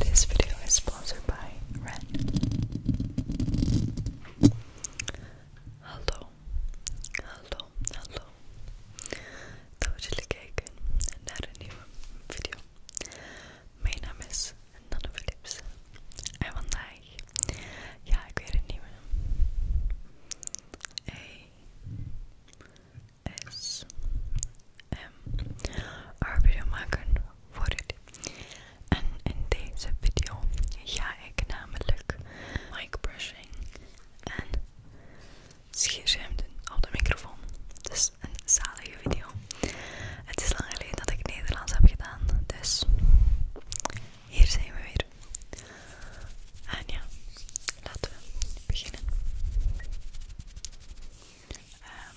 This video is sponsored by Ren. Hallo, hallo, hallo. Dat jullie kijken naar een nieuwe video. Mijn naam is Nanne Philips. En vandaag, ja, ik weer een um, ehm, video maken voor u. En in deze video ga ik namelijk mic brushing en scherm op de microfoon. Dus een zalige video. Het is lang geleden dat ik Nederlands heb gedaan, dus hier zijn we weer. En ja, laten we beginnen. Ehm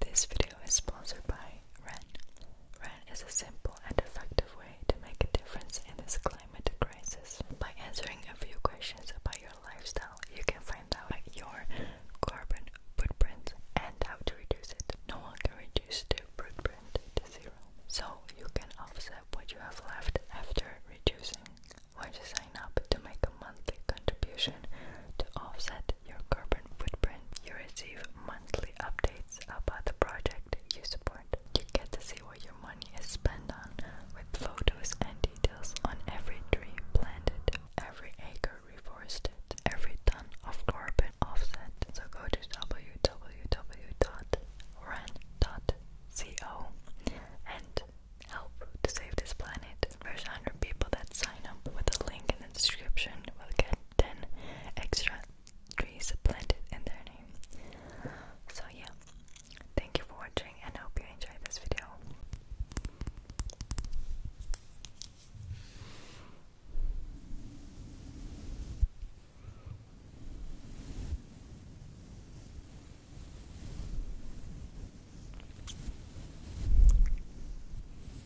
This video is sponsored by REN. REN is a simple and effective way to make a difference in this climate crisis. By answering a few questions about your lifestyle, you can find out your carbon footprint and how to reduce it. No one can reduce their footprint to zero, so you can offset what you have left after reducing. Why to sign up to make a monthly contribution to offset your carbon footprint. You receive monthly updates about the project you support. You get to see what your money is spent on with photos and details on every tree planted, every acre reforested, every ton of carbon offset. So go to www.ran.co and help to save this planet. There's a 100 people that sign up with the link in the description will get 10 extra trees planted in their name. So yeah, thank you for watching and I hope you enjoyed this video.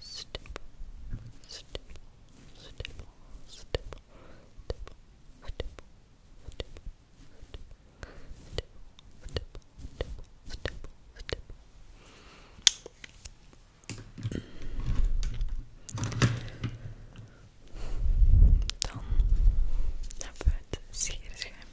stipple, stipple, stipple, stipple, stipple, stipple, stipple, Dan hebben we het sierscherm.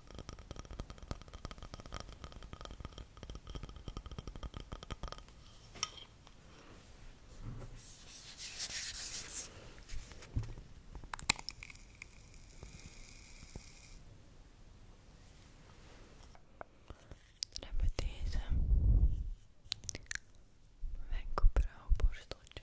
Dan hebben we deze wenkbrauwborsteltje.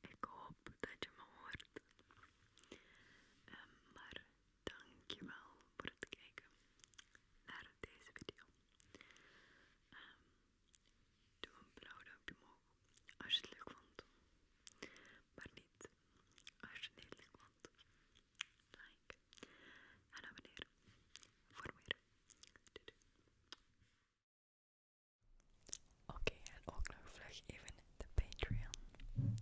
Ik hoop dat je me hoort. Ehm, maar dankjewel voor het kijken naar deze video. Ehm, doe een blauw duimpje omhoog als je het leuk vond. Maar niet als je het niet leuk vond. Like en abonneren voor meer. doei. Oké, okay, en ook nog vlug even de Patreon.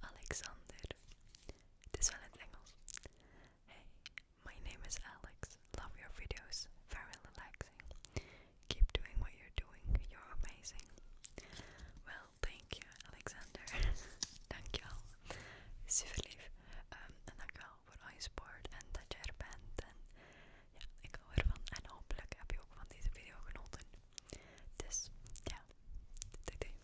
Alexander, het is wel in het Engels. Hey, my name is Alex. Love your videos. Very relaxing. Keep doing what you're doing. You're amazing. Well, thank you, Alexander. dankjewel. Super lief. Um, en dankjewel voor al je support en dat je er bent. En ja, ik hou ervan. En hopelijk heb je ook van video genoten. Dus ja, doei